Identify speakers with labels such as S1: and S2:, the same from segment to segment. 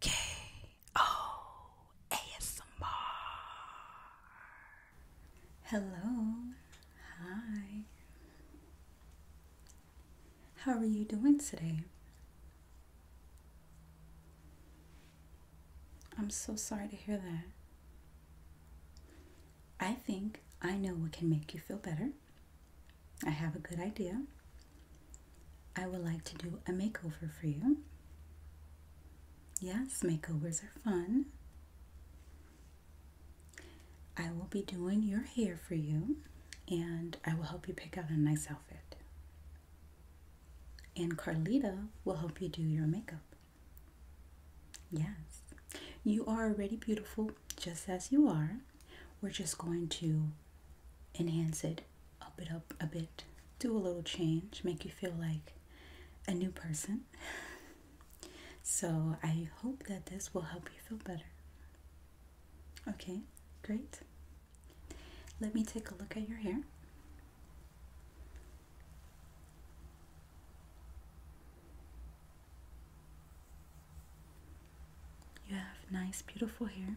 S1: K O Hello. Hi. How are you doing today? I'm so sorry to hear that. I think I know what can make you feel better. I have a good idea. I would like to do a makeover for you. Yes, makeovers are fun. I will be doing your hair for you and I will help you pick out a nice outfit. And Carlita will help you do your makeup. Yes, you are already beautiful just as you are. We're just going to enhance it up it up a bit, do a little change, make you feel like a new person. so I hope that this will help you feel better. Okay, great. Let me take a look at your hair. You have nice, beautiful hair.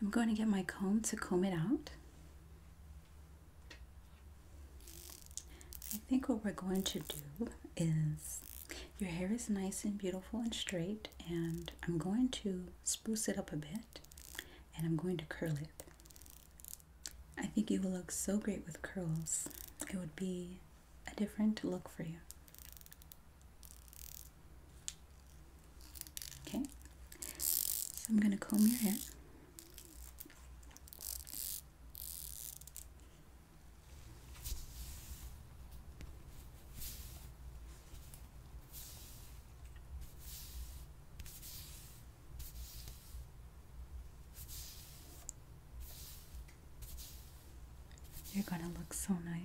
S1: I'm going to get my comb to comb it out. I think what we're going to do is your hair is nice and beautiful and straight and I'm going to spruce it up a bit and I'm going to curl it. I think you will look so great with curls. It would be a different look for you. Okay, so I'm going to comb your hair. You're going to look so nice.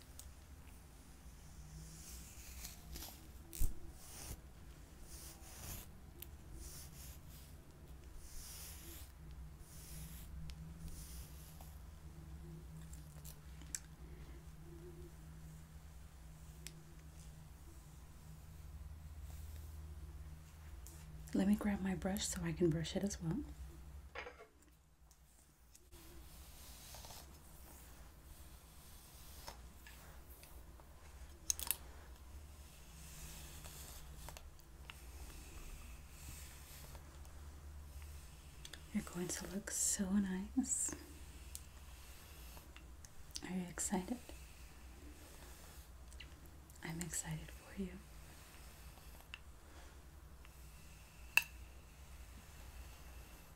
S1: Let me grab my brush so I can brush it as well. You're going to look so nice. Are you excited? I'm excited for you.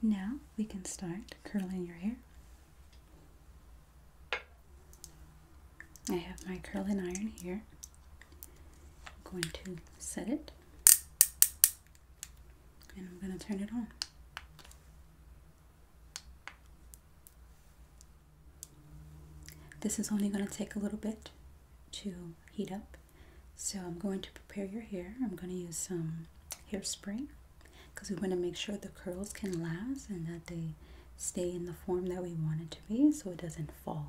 S1: Now we can start curling your hair. I have my curling iron here. I'm going to set it and I'm going to turn it on. This is only going to take a little bit to heat up. So I'm going to prepare your hair. I'm going to use some hairspray because we want to make sure the curls can last and that they stay in the form that we want it to be so it doesn't fall.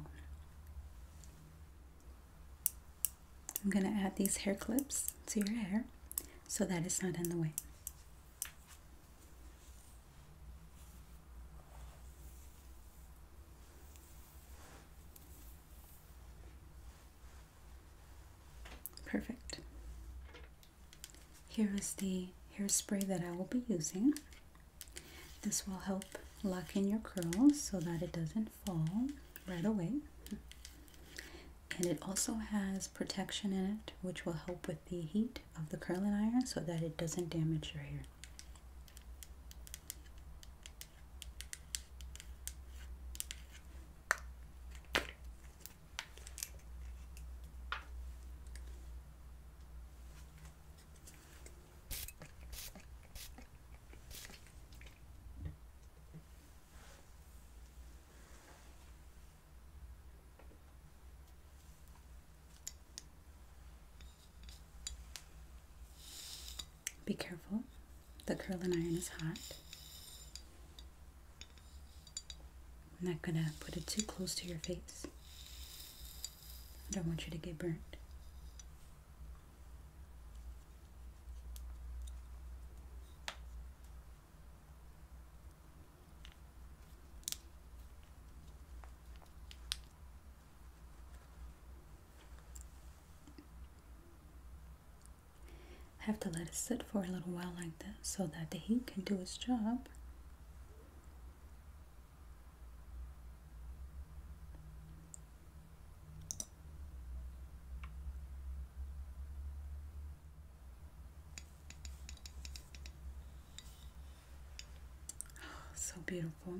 S1: I'm going to add these hair clips to your hair so that it's not in the way. Perfect. Here is the hairspray that I will be using. This will help lock in your curls so that it doesn't fall right away. And it also has protection in it, which will help with the heat of the curling iron so that it doesn't damage your hair. Be careful the curling iron is hot. I'm not gonna put it too close to your face. I don't want you to get burnt. I have to let it sit for a little while like this so that the heat can do its job. Oh, so beautiful.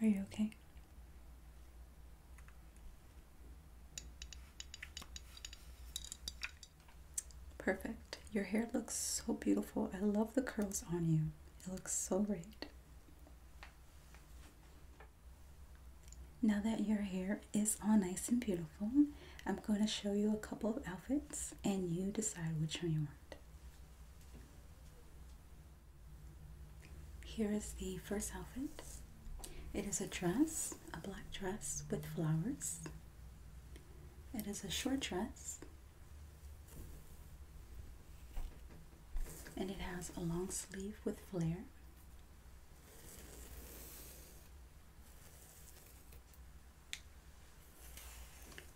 S1: Are you okay? Perfect. Your hair looks so beautiful. I love the curls on you. It looks so great. Now that your hair is all nice and beautiful, I'm going to show you a couple of outfits and you decide which one you want. Here is the first outfit. It is a dress, a black dress with flowers. It is a short dress. And it has a long sleeve with flare.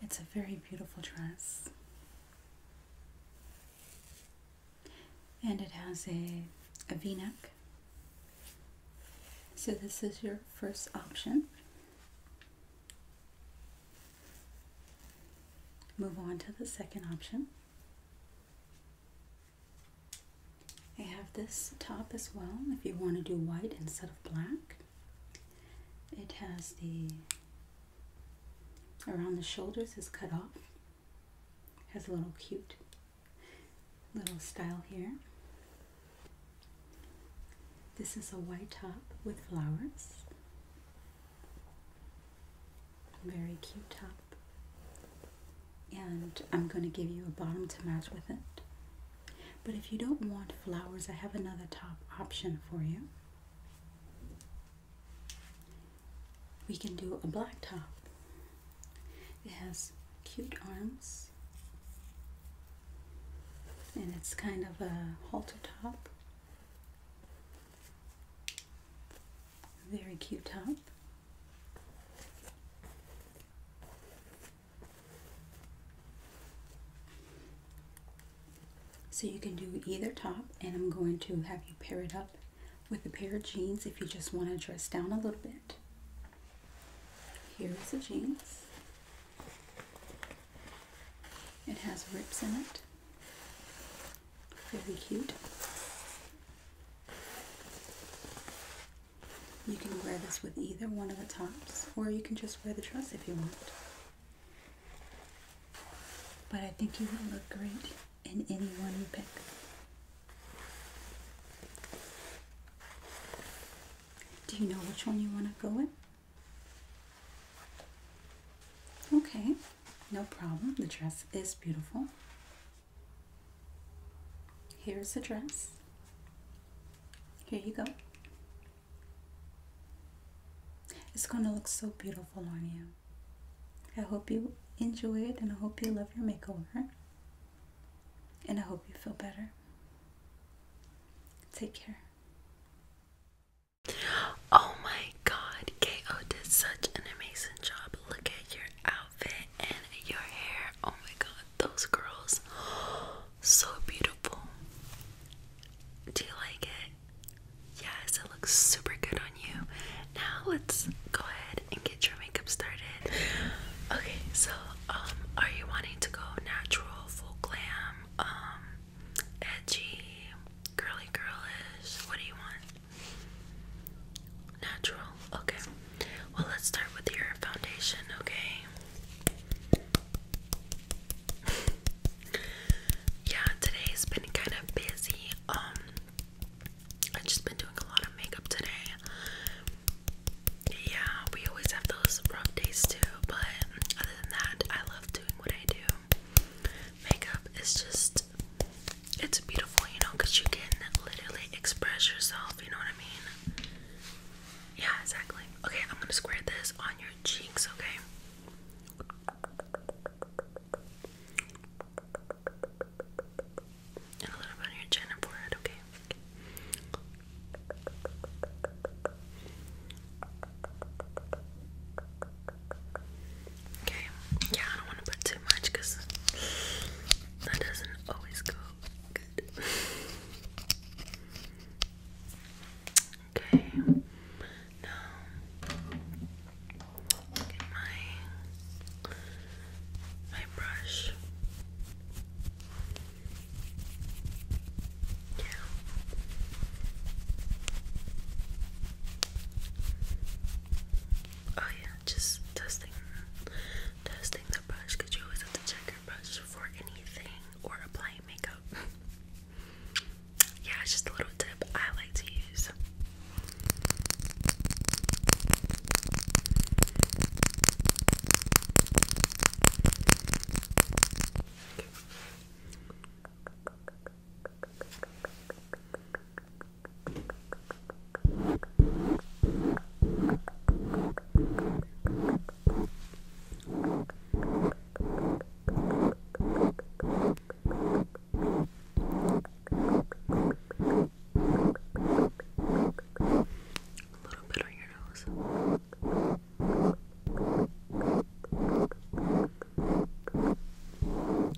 S1: It's a very beautiful dress. And it has a, a v-neck. So this is your first option. Move on to the second option. I have this top as well if you want to do white instead of black. It has the around the shoulders is cut off. Has a little cute little style here. This is a white top with flowers. Very cute top. And I'm going to give you a bottom to match with it. But if you don't want flowers, I have another top option for you. We can do a black top. It has cute arms. And it's kind of a halter top. Very cute top. So you can do either top and I'm going to have you pair it up with a pair of jeans if you just want to dress down a little bit. Here's the jeans. It has rips in it. Very cute. You can wear this with either one of the tops, or you can just wear the dress if you want. But I think you will look great in any one you pick. Do you know which one you want to go in? Okay, no problem. The dress is beautiful. Here's the dress. Here you go. It's going to look so beautiful on you. I hope you enjoy it and I hope you love your makeover. And I hope you feel better. Take care. Oh my god, KO did
S2: such an amazing job Look at your outfit and your hair. Oh my god, those girls. So beautiful. Do you like it? Yes, it looks super good on you. Now let's go ahead and get your makeup started. Okay, so um are you wanting to go natural, full glam, um edgy, girly girlish? What do you want? Natural. Okay. Well, let's start with your foundation, okay? yeah, today's been kind of busy. Um I've just been doing a lot of makeup today. Yeah, we always have those rough days too, but other than that, I love doing what I do. Makeup is just, it's beautiful, you know, because you can literally express yourself, you know what I mean? Yeah, exactly. Okay, I'm gonna square this on your cheeks, okay? And a little bit on your chin and forehead, okay. Okay, yeah, I don't want to put too much because that doesn't always go good. Okay, now get my my brush. Yeah. Oh yeah, just testing, testing the brush because you always have to check your brush for anything or applying makeup. yeah, it's just a little tip I like to use. A little bit on your nose.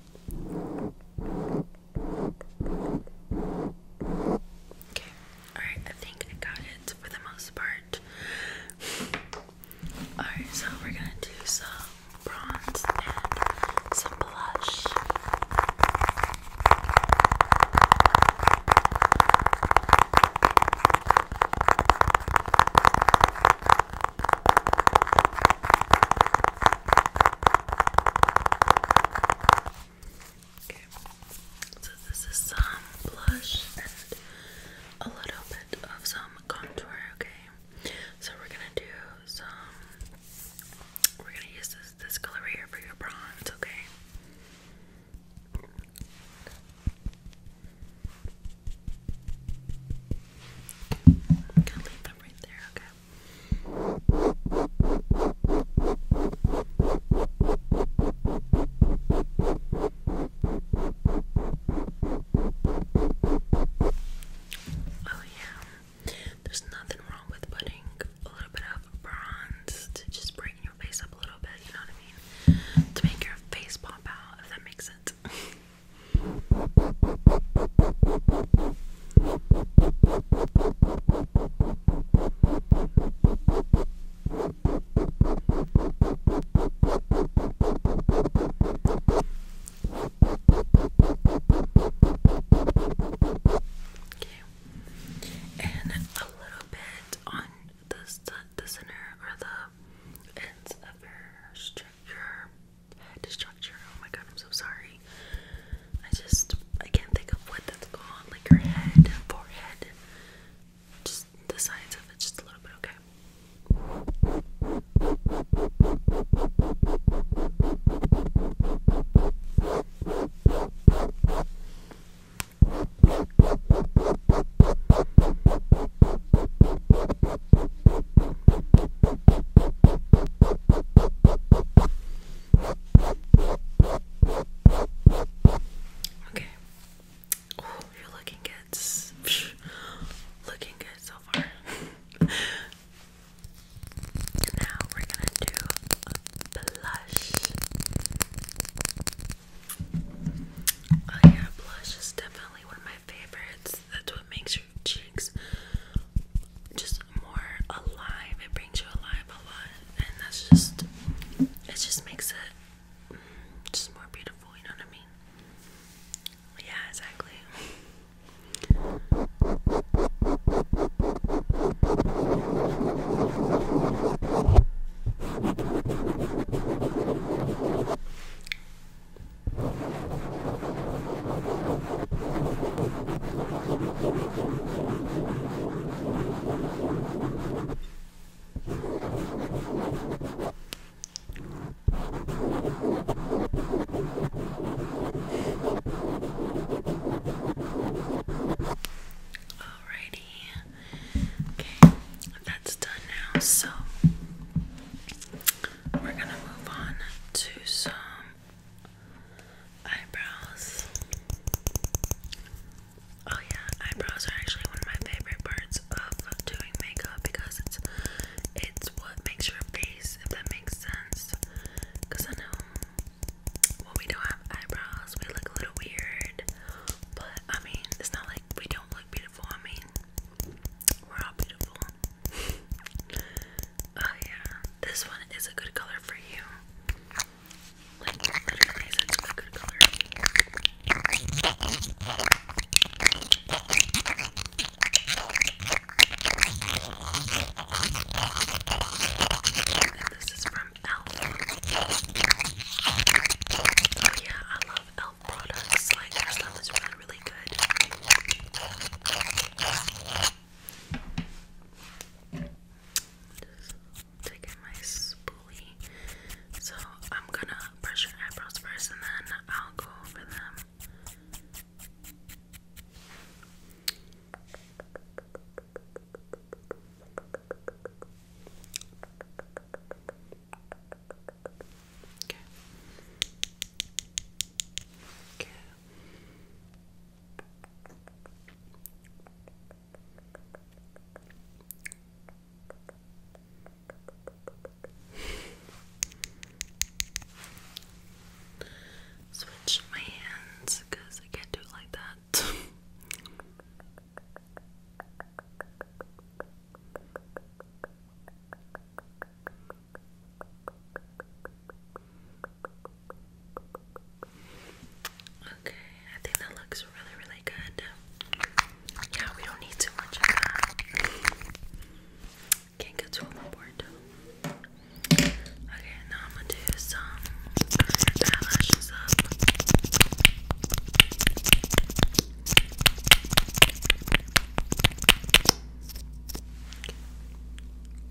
S2: Okay, alright, I think I got it for the most part. Alright, so we're gonna do some bronze and some blush. Okay, so this is some blush and a little bit of some contour, okay? So we're gonna do some, we're gonna use this, this color right here for your bronze, okay? gonna leave them right there, okay? Oh, yeah, there's nothing wrong with putting a little bit of bronze to just brighten your face up a little bit, you know what I mean? To make your face pop out, if that makes sense. and a little bit on the, the center or the ends of her string your head structure. Oh my god, I'm so sorry. I just I can't think of what that's called. Like your head, forehead, just the sides of it, just a little bit. Okay. Okay. Oh, you're looking good. Looking good so far. now we're gonna do blush. Oh, yeah, blush is definitely one of my favorites. That's what makes cheeks just more alive. It brings you alive a lot, and that's just it. Just makes it mm, just more beautiful. You know what I mean? Yeah, exactly. Alrighty. Okay, that's done now. So we're gonna move on to some eyebrows. Oh, yeah, eyebrows are actually one of my favorite parts of doing makeup because it's it's what makes your face, if that makes sense. Because I know when we don't have eyebrows, we look a little weird, but I mean, it's not like we don't look beautiful. I mean, we're all beautiful oh yeah, this one is a good color for you. Like literally, it's a good color. And this is from Elf. Oh yeah, I love Elf products. Like their stuff is really, really good. Taking my spoolie. So I'm gonna brush your eyebrows first and then I'll go over them. Okay. Switch my hands because I can't do it like that. Okay, I think that looks really, really good. Yeah, we don't need too much of that. Can't get too overboard. Okay, now I'm gonna do some eylashes up.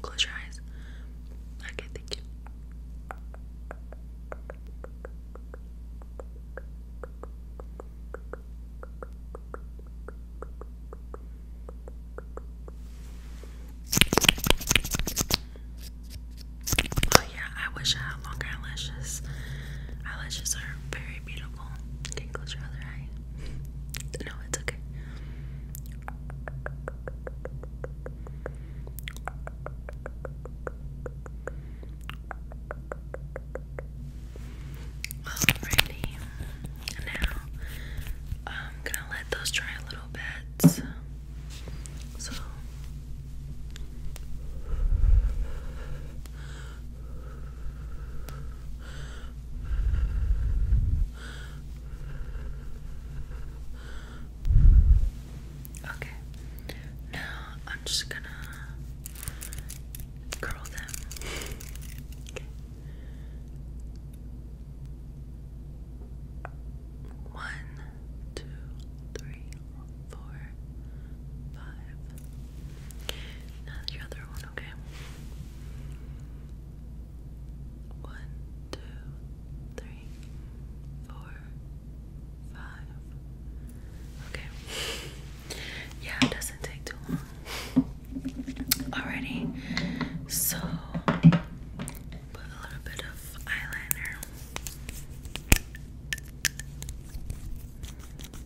S2: Close your eyes. Okay, thank you. Oh yeah, I wish I had longer eyelashes. Eyelashes are very beautiful. Okay, close your other eye? No, it's okay. Alrighty. Now I'm gonna let those dry a little bit. So Okay, now I'm just gonna curl them. okay. One, two, three, four, five. Now the other one, okay? One, two, three, four, five. Okay. Yeah, it doesn't take too long. Alrighty. So put a little bit of eyeliner. Okay.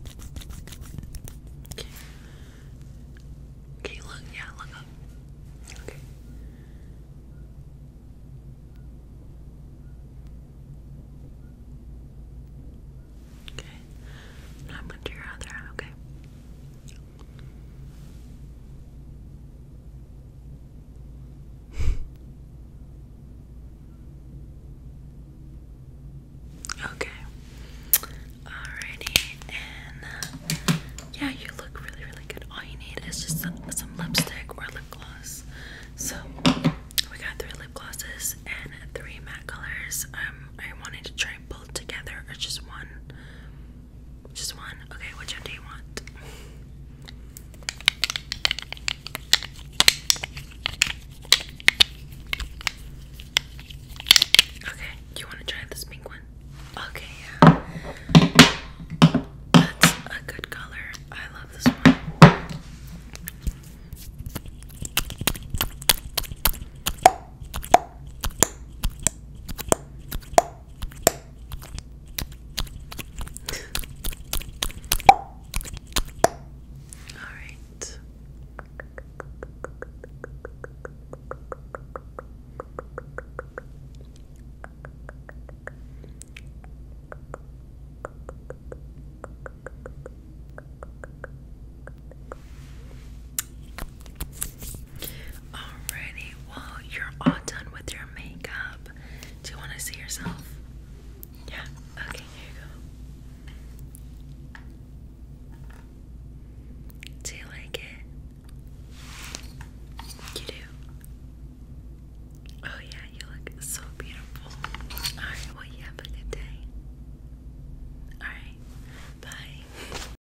S2: Can look? Yeah, look up. Okay. Okay. Now I'm going your other eye, okay? Okay. Alrighty, and uh, yeah, you look really, really good. All you need is just some, some lipstick or lip gloss. So we got three lip glosses and three matte colors. Um, I wanted to try both together or just one. Just one. Okay, which one do you want? Okay, do you want to try this pink one? Okay, yeah. That's a good color. I love this one. Alright. Alrighty, well, you're all done with your makeup. Do you want to see yourself? Yeah, okay, here you go. Do you like it? You do? Oh, yeah, you look so beautiful. Alright, well, you have a good day. Alright, bye.